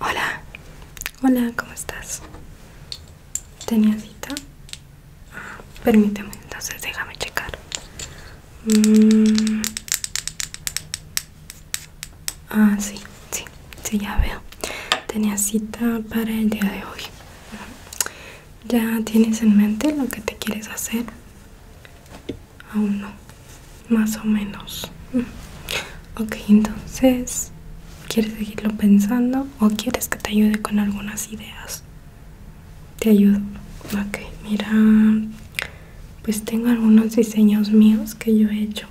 Hola, hola, ¿cómo estás? ¿Tenía cita? permíteme, entonces déjame checar. Mm. Ah, sí, sí, sí, ya veo. Tenía cita para el día de hoy. ¿Ya tienes en mente lo que te quieres hacer? Aún no. Más o menos. Ok, entonces, ¿quieres seguirlo pensando o quieres que te ayude con algunas ideas? Te ayudo. Ok, mira, pues tengo algunos diseños míos que yo he hecho.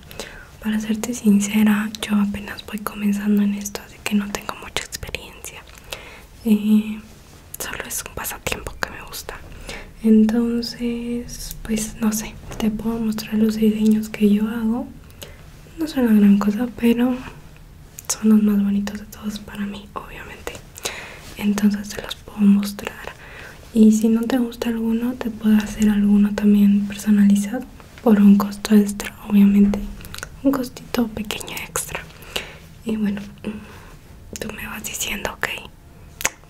Para serte sincera, yo apenas voy comenzando en esto, así que no tengo mucha experiencia. Eh, solo es un pasatiempo que me gusta entonces pues no sé te puedo mostrar los diseños que yo hago no son una gran cosa pero son los más bonitos de todos para mí obviamente entonces te los puedo mostrar y si no te gusta alguno te puedo hacer alguno también personalizado por un costo extra obviamente un costito pequeño extra y bueno tú me vas diciendo ok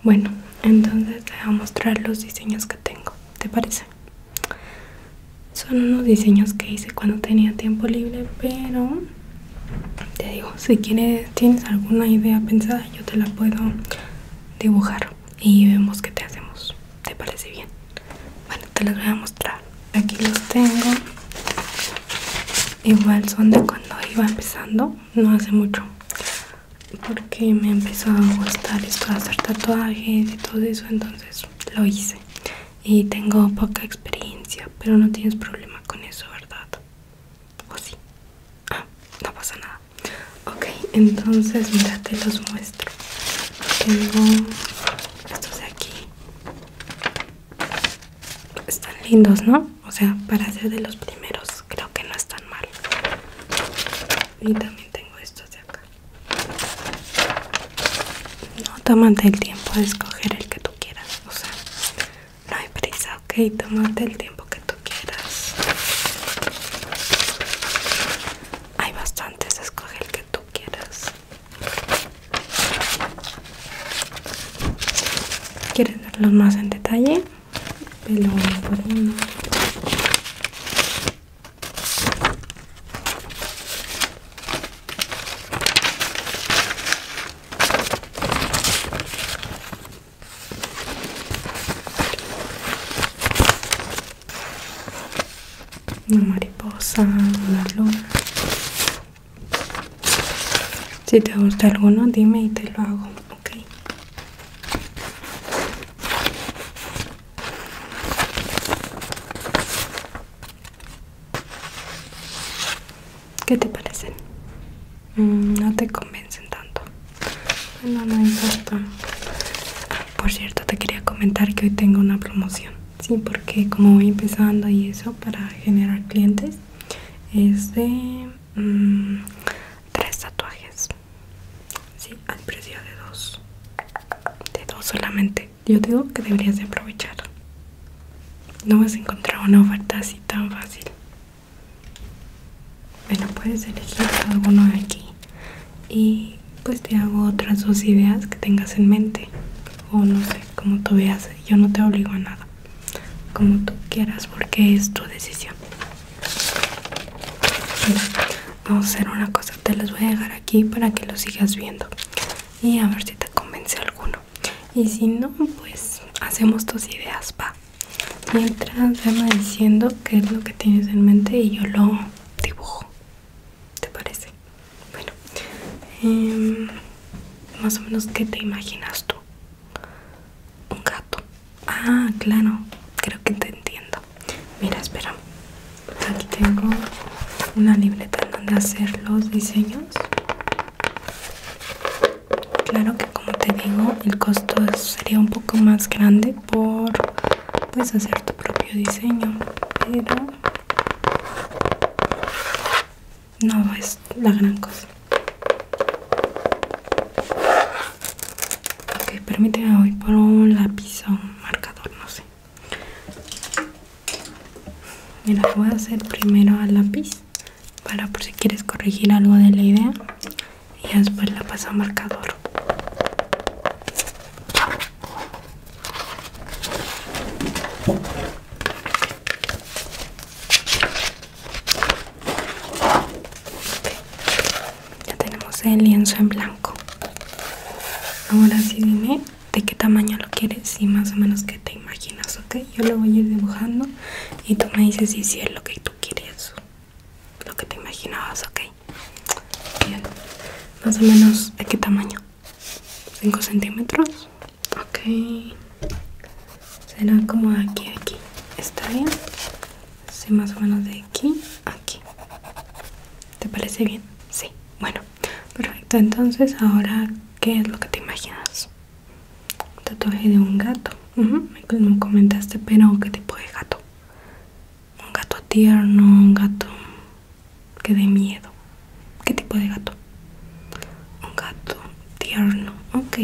bueno, entonces te voy a mostrar los diseños que tengo, ¿te parece? Son unos diseños que hice cuando tenía tiempo libre, pero te digo, si quieres, tienes alguna idea pensada, yo te la puedo dibujar y vemos qué te hacemos. ¿Te parece bien? Bueno, te los voy a mostrar. Aquí los tengo. Igual son de cuando iba empezando, no hace mucho porque me empezó a gustar esto de hacer tatuajes y todo eso entonces lo hice y tengo poca experiencia pero no tienes problema con eso verdad o sí ah no pasa nada ok entonces mira te los muestro tengo estos de aquí están lindos no o sea para ser de los primeros pues, creo que no están mal y también tengo estos de acá no tomate el tiempo de escoger el que tú quieras o sea no hay prisa ok tómate el tiempo que tú quieras hay bastantes escoge el que tú quieras ¿Quieres verlos más en detalle? pelón, una mariposa, una luna si te gusta alguno dime y te lo hago, ok ¿Qué te parecen? Mm, no te convencen tanto. Bueno, no importa. Por cierto, te quería comentar que hoy tengo una promoción. Sí, porque como voy empezando y eso para generar clientes, es de mm, tres tatuajes sí al precio de dos de dos solamente yo digo que deberías de aprovechar no vas a encontrar una oferta así tan fácil bueno puedes elegir alguno de aquí y pues te hago otras dos ideas que tengas en mente o no sé como tú veas yo no te obligo a nada como tú quieras porque es tu decisión vamos a hacer una cosa te las voy a dejar aquí para que lo sigas viendo y a ver si te convence alguno y si no pues hacemos tus ideas va mientras veme diciendo qué es lo que tienes en mente y yo lo dibujo te parece bueno em, más o menos qué te imaginas tú un gato Ah, claro, creo que te entiendo. Mira, espera. Aquí tengo una libreta donde hacer los diseños. Claro que como te digo, el costo sería un poco más grande por pues hacer tu propio diseño, pero no es la gran cosa. Ok, permíteme, voy por un lápiz o un marcador, no sé. Mira, voy a hacer primero al lápiz para por si quieres corregir algo de la idea y después la paso a marcador. Ya tenemos el lienzo en blanco. Ahora sí dime de qué tamaño lo quieres y más o menos que te imaginas, ¿ok? Yo lo voy a ir dibujando y tú me dices si es lo que tú quieres, lo que te imaginabas, ¿ok? Bien, más o menos de qué tamaño. 5 centímetros, ok será como aquí aquí está bien sí más o menos de aquí aquí te parece bien sí bueno perfecto entonces ahora qué es lo que te imaginas un tatuaje de un gato Michael me comentaste pero qué tipo de gato un gato tierno un gato que dé miedo qué tipo de gato un gato tierno ok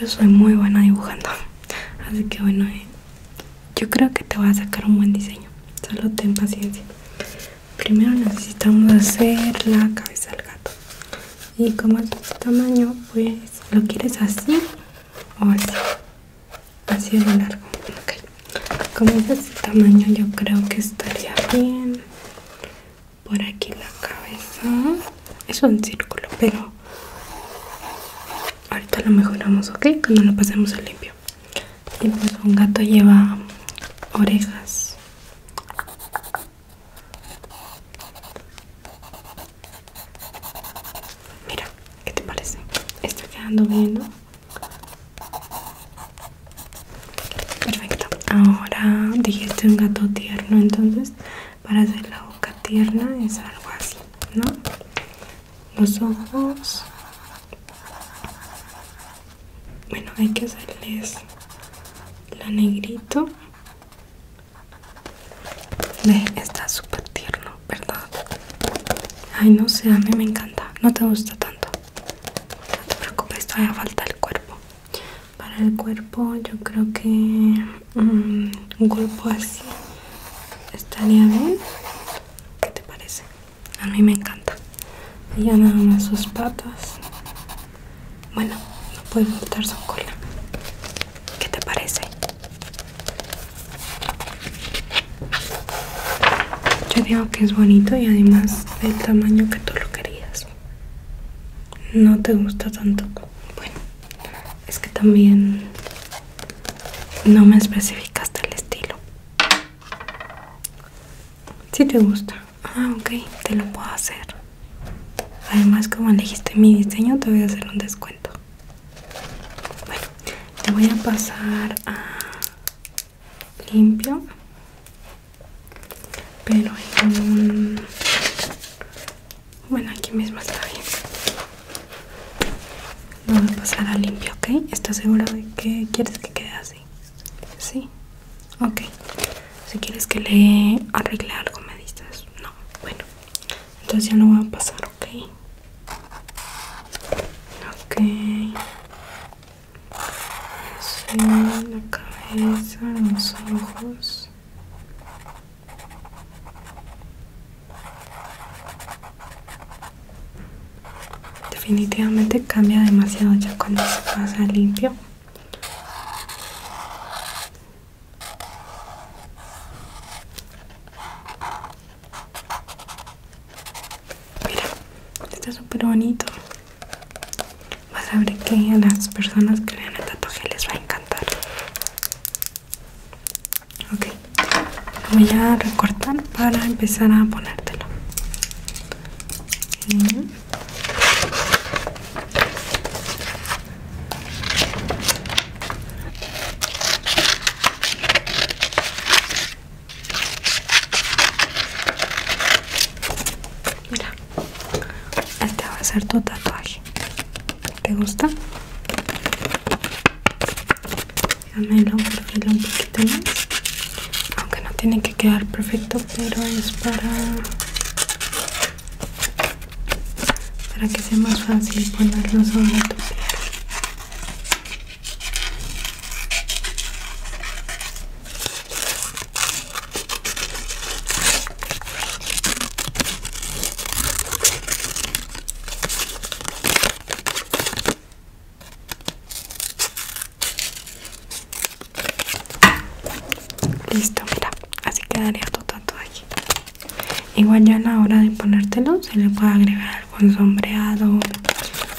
yo soy muy buena dibujando así que bueno eh, yo creo que te voy a sacar un buen diseño solo ten paciencia primero necesitamos hacer la cabeza del gato y como es este tamaño pues lo quieres así o así así de largo okay. como es de este tamaño yo creo que estaría bien por aquí la cabeza. Es un círculo, pero ahorita lo mejoramos, ¿ok? Cuando lo pasemos al limpio. Y pues un gato lleva orejas. Mira, ¿qué te parece? Está quedando bien, Perfecto. Ahora dijiste un gato tierno, entonces para hacer la boca tierna es algo así no los ojos bueno hay que hacerles la negrito está súper tierno verdad ay no sé a mí me encanta no te gusta tanto no te preocupes todavía falta el cuerpo para el cuerpo yo creo que mm, un cuerpo así estaría bien ¿qué te parece? a mí me encanta ya nada más sus patas bueno no puede cortar su cola ¿qué te parece? yo digo que es bonito y además del tamaño que tú lo querías no te gusta tanto bueno es que también no me especificaste el estilo si te gusta ah ok te lo puedo hacer además como elegiste mi diseño te voy a hacer un descuento bueno te voy a pasar a limpio pero en em, un... bueno aquí mismo está bien lo voy a pasar a limpio ok estás seguro de que quieres que quede así sí ok si quieres que le arregle algo me dices no bueno entonces ya no va a pasar ok ok así la cabeza los ojos Definitivamente cambia demasiado ya cuando se pasa limpio. Mira, está súper bonito vas a ver que a las personas que le dan el tatuaje les va a encantar ok voy a recortar para empezar a ponértelo Mira, este va a ser tu tatuaje. ¿Te gusta? lo perfilo un poquito más. Aunque no tiene que quedar perfecto, pero es para para que sea más fácil ponerlo sobre tu piel. Listo, mira, así quedaría tu tatuaje. Igual ya a la hora de ponértelo se le puede agregar algún sombreado,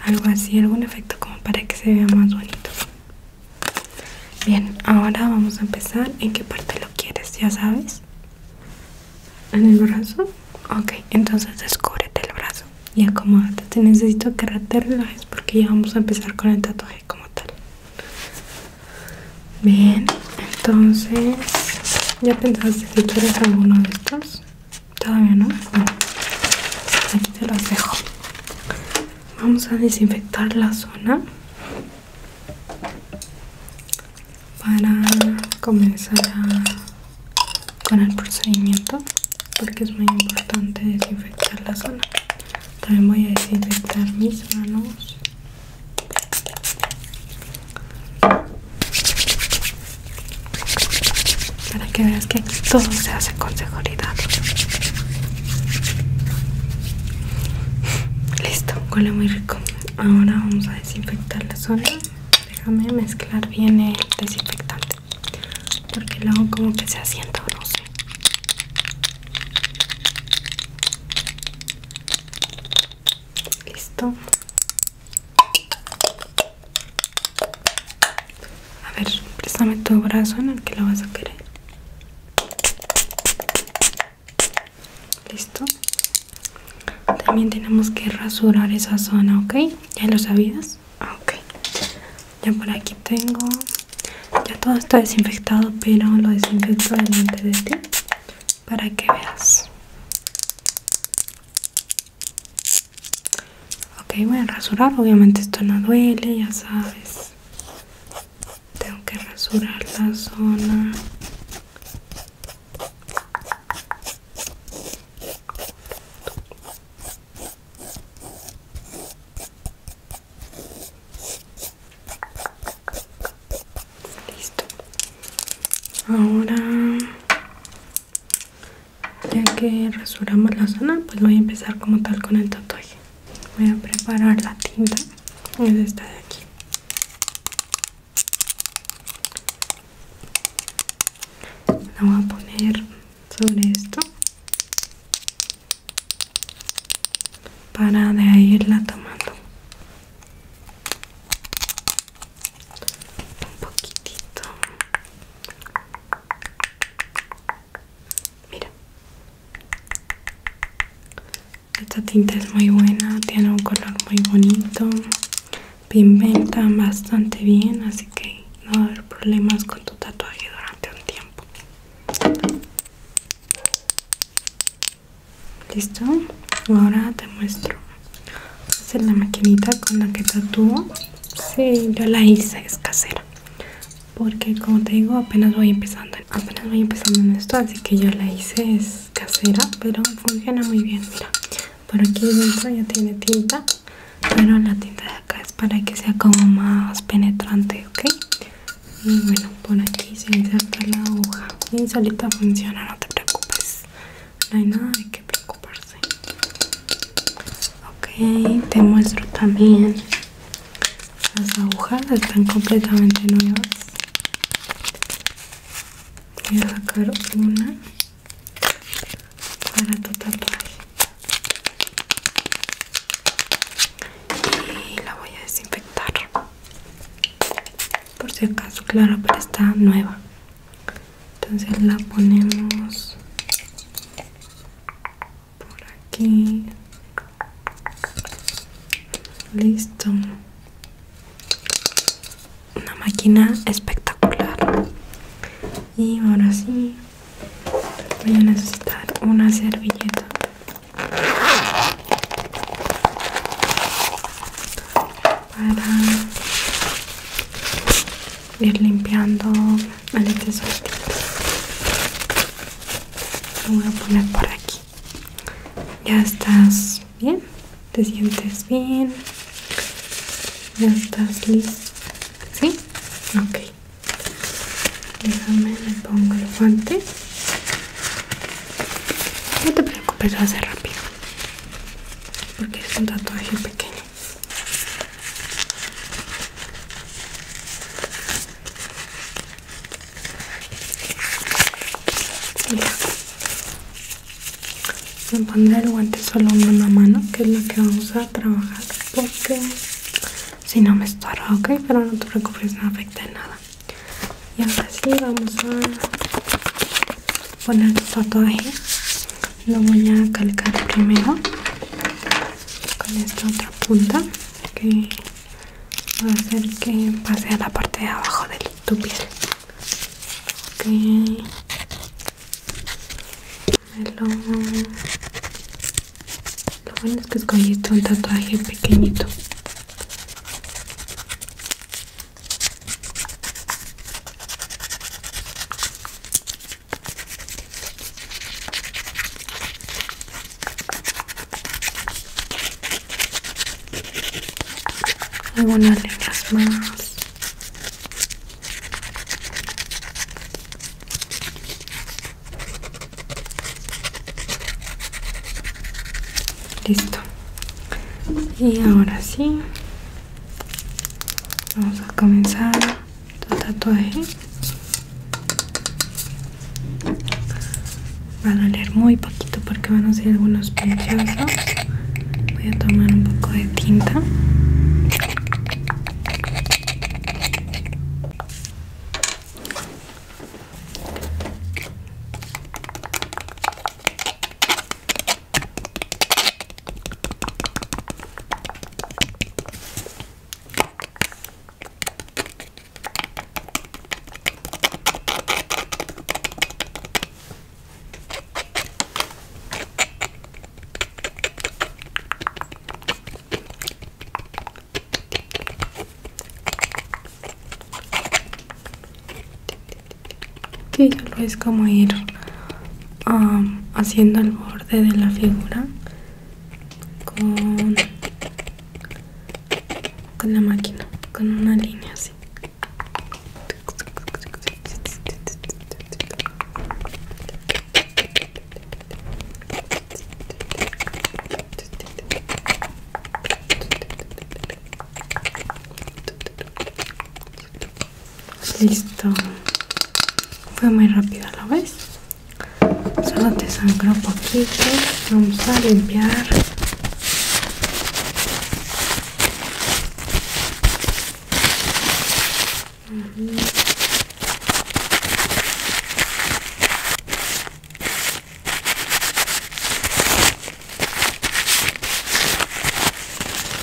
algo así, algún efecto como para que se vea más bonito. Bien, ahora vamos a empezar. ¿En qué parte lo quieres? ¿Ya sabes? ¿En el brazo? Ok, entonces descúbrete el brazo y acomódate. Te necesito que te relajes porque ya vamos a empezar con el tatuaje como tal. Bien, entonces, ¿ya pensaste si quieres alguno de estos? Todavía no. Bueno, te los dejo. Vamos a desinfectar la zona para comenzar con el procedimiento porque es muy importante desinfectar la zona. También voy a desinfectar mis manos. Para que veas que todo se hace con seguridad listo huele muy rico ahora vamos a desinfectar la zona déjame mezclar bien el desinfectante porque luego como que se asienta o no sé listo a ver, préstame tu brazo en el que lo vas a querer listo también tenemos que rasurar esa zona ok ya lo sabías ah, ok ya por aquí tengo ya todo está desinfectado pero lo desinfecto delante de ti para que veas ok voy a rasurar obviamente esto no duele ya sabes tengo que rasurar la zona. Listo. Ahora, ya que rasuramos la zona, pues voy a empezar como tal con el tatuaje voy a preparar la tinta es esta de aquí la voy a poner sobre esto para de ahí irla tomando un poquitito mira esta tinta es muy buena, tiene un color muy bonito, pigmenta bastante bien, así que no va a haber problemas con tu tatuaje durante un tiempo. Listo, ahora te muestro. es la maquinita con la que tatuo, Sí, yo la hice, es casera porque como te digo apenas voy empezando apenas voy empezando en esto así que yo la hice es casera pero funciona muy bien mira por aquí dentro ya tiene tinta pero la tinta de acá es para que sea como más penetrante ok y bueno por aquí se inserta la hoja y solita funciona no te preocupes no hay nada de que preocuparse ok te muestro también las agujas están completamente nuevas voy a sacar una para tu tatuaje y la voy a desinfectar por si acaso claro pero está nueva entonces la ponemos por aquí listo una máquina espectacular y ahora sí voy a necesitar una servilleta para ir limpiando vale tesoro lo voy a poner por aquí ya estás bien te sientes bien ya estás listo sí ok déjame le pongo el guante no te preocupes va a ser rápido porque es un tatuaje pequeño voy a poner el guante solo mano una mano, que es lo que vamos a trabajar, porque si no me estorba, ok, pero no te preocupes, no afecta nada. Y ahora sí vamos a poner el ahí lo voy a calcar primero con esta otra punta que va a hacer que pase a la parte de abajo de tu piel lo bueno es que escogiste un tatuaje pequeñito algunas letras más listo y ahora sí vamos a comenzar tu tatuaje va a doler muy poquito porque van a ser algunos pinchazos voy a tomar un poco de tinta que ya lo es como ir haciendo el borde de la figura con, con la máquina, con una línea así. Listo. Fue muy rápido, la vez Solo te un poquito. Vamos a limpiar.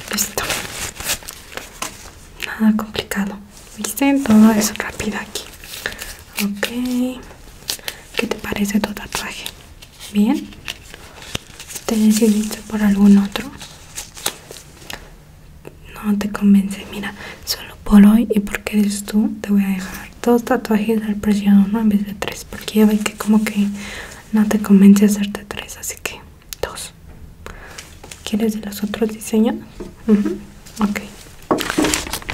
Listo. Nada complicado. ¿Viste? Todo eso rápido aquí. Ok. ¿Qué te parece tu tatuaje? ¿Bien? ¿Te decidiste por algún otro? No te convence. Mira, solo por hoy y porque eres tú, te voy a dejar dos tatuajes al precio de uno en vez de tres. Porque ya que como que no te convence hacerte tres. Así que dos quieres de los otros diseños ok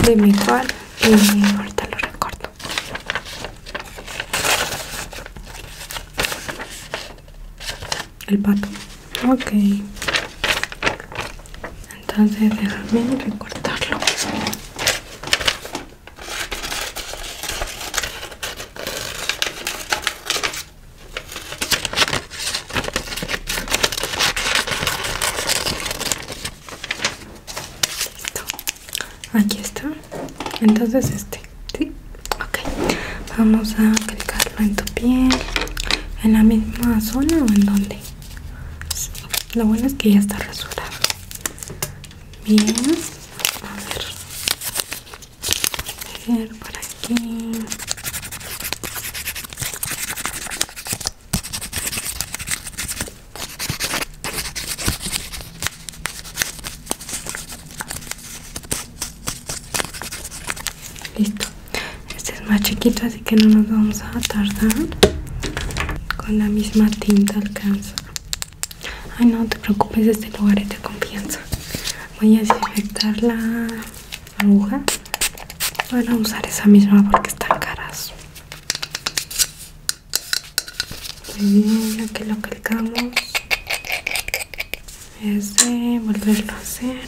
dime cuál y eh, ahorita lo recorto el pato ok entonces déjame recortarlo Listo. Aquí está. Entonces este, ¿sí? Ok. Vamos a aplicarlo en tu piel. ¿En la misma zona o en dónde? Lo bueno es que ya está rasurado. Bien. A ver. A ver, por aquí. Listo. Este es más chiquito, así que no nos vamos a tardar. Con la misma tinta alcanza. Ay, no te preocupes, este lugar es de confianza. Voy a desinfectarla aguja Bueno, a usar esa misma porque están caras muy bien aquí lo que es de volverlo a hacer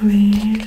a ver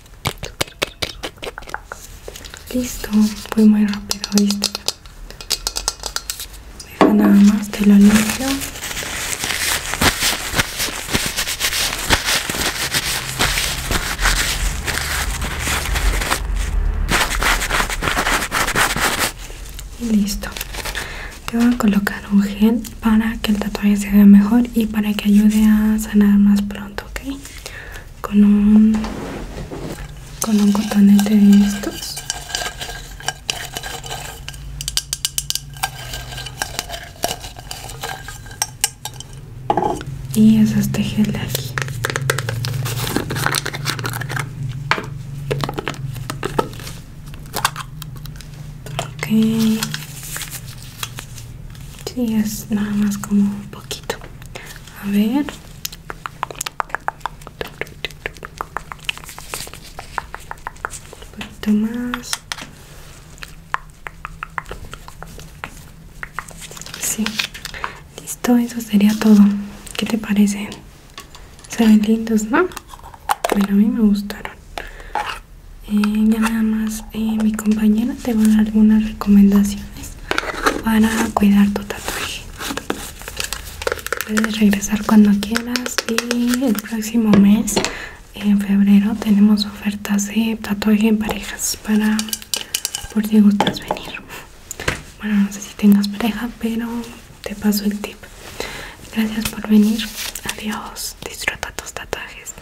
Listo, fue muy rápido, ¿viste? Deja nada más, te lo limpio. Y listo. Te voy a colocar un gel para que el tatuaje se vea mejor y para que ayude a sanar más pronto, ¿ok? con un con un cotonete de estos y esas tejes de aquí si, es nada más como un poquito. A ver. Un poquito más. Sí. Listo, eso sería todo. ¿Qué te parece? Se ven lindos, ¿no? Bueno, a mí me gustaron. Eh, ya nada más eh, mi compañera te va a dar algunas recomendaciones para cuidar tu tatuaje puedes regresar cuando quieras y el próximo mes en febrero tenemos ofertas de tatuaje en parejas para por si gustas venir bueno no sé si tengas pareja pero te paso el tip gracias por venir adiós disfruta tus tatuajes